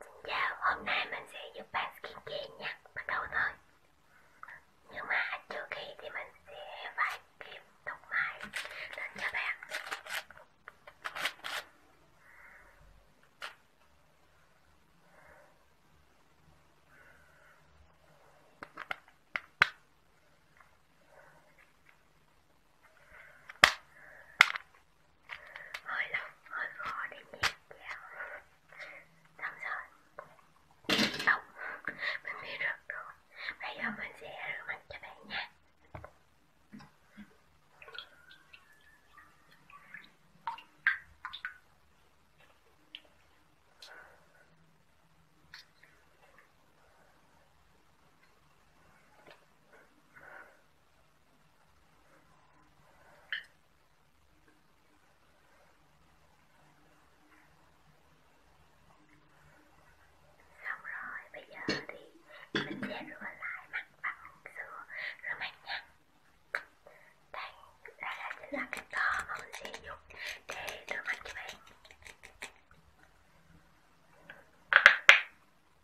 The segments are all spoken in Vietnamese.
Xin dạ, chào, hôm nay mình sẽ giúp bạn skincare nha, bắt đầu thôi Nhưng mà trước khi thì mình sẽ phải kiếm tóc mai đến cho bạn hơi lâu hơi khó để nhẹ dẻo xong rồi xong mình biết được rồi bây giờ mình sẽ rửa mặt cho bạn nha Xong rồi, bây giờ thì mình sẽ rửa lại mặt bằng sữa rửa mặt nha Đây, đây là chính là cái tờ mà mình sẽ dùng để rửa mặt cho bạn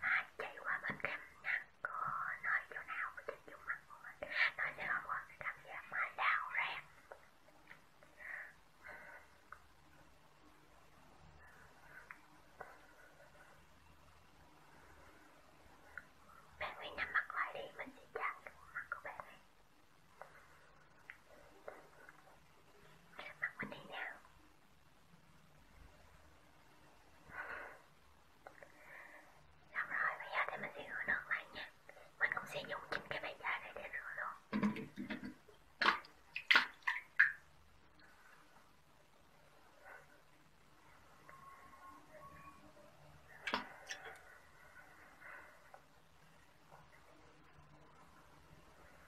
mà chạy qua bên cạnh nắng có nói chỗ nào với cái chung mặt của mình nó sẽ không có cái cảm giác mà đau rát bạn hãy nắm mặt lại đi mình sẽ chạm cái mặt của bạn này mặt mình đi nào Xong rồi, bây giờ thì mình sẽ rửa nước lại nha Mình cũng sẽ dùng chính cái bàn chải này để rửa luôn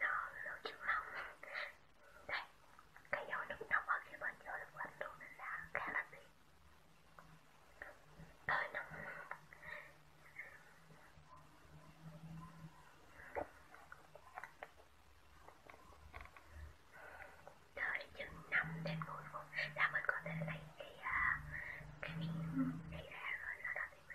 nó lâu trước lòng Đây, cái dầu nước nóng ở kia bên dưới được lạnh luôn nên là khá là tiện Tôi nóng Đợi chừng 5 đến 10 phút là mình có thể lấy cái, uh, cái miếng này ra rồi sau đó thì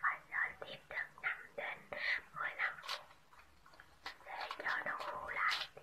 phải đợi tiếp được 5 đến 15 phút để cho nó khô lại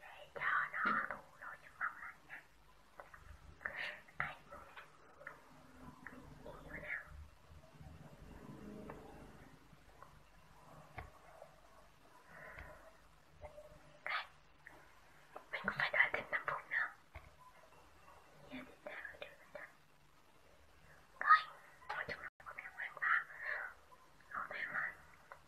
để cho nó đủ độ chất màu lại nha Ai Yêu nào Okay. Mình cũng phải đợi thêm 5 phút nữa Giờ thì ta ở được rồi Rồi, thôi chúng ta cũng đang hoàn toàn Không thể lên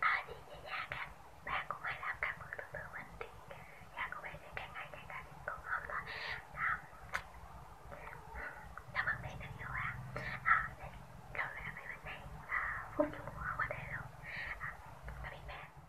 à, thì về nhà các bạn cũng hãy làm cảm ơn tương tự mình thì nhà của bạn sẽ càng ngày càng càng tốt hơn thôi à, cảm ơn bạn rất nhiều ạ à. à, để lâu lại với mình này à, phút chung không có thể luôn à, tạm biệt bạn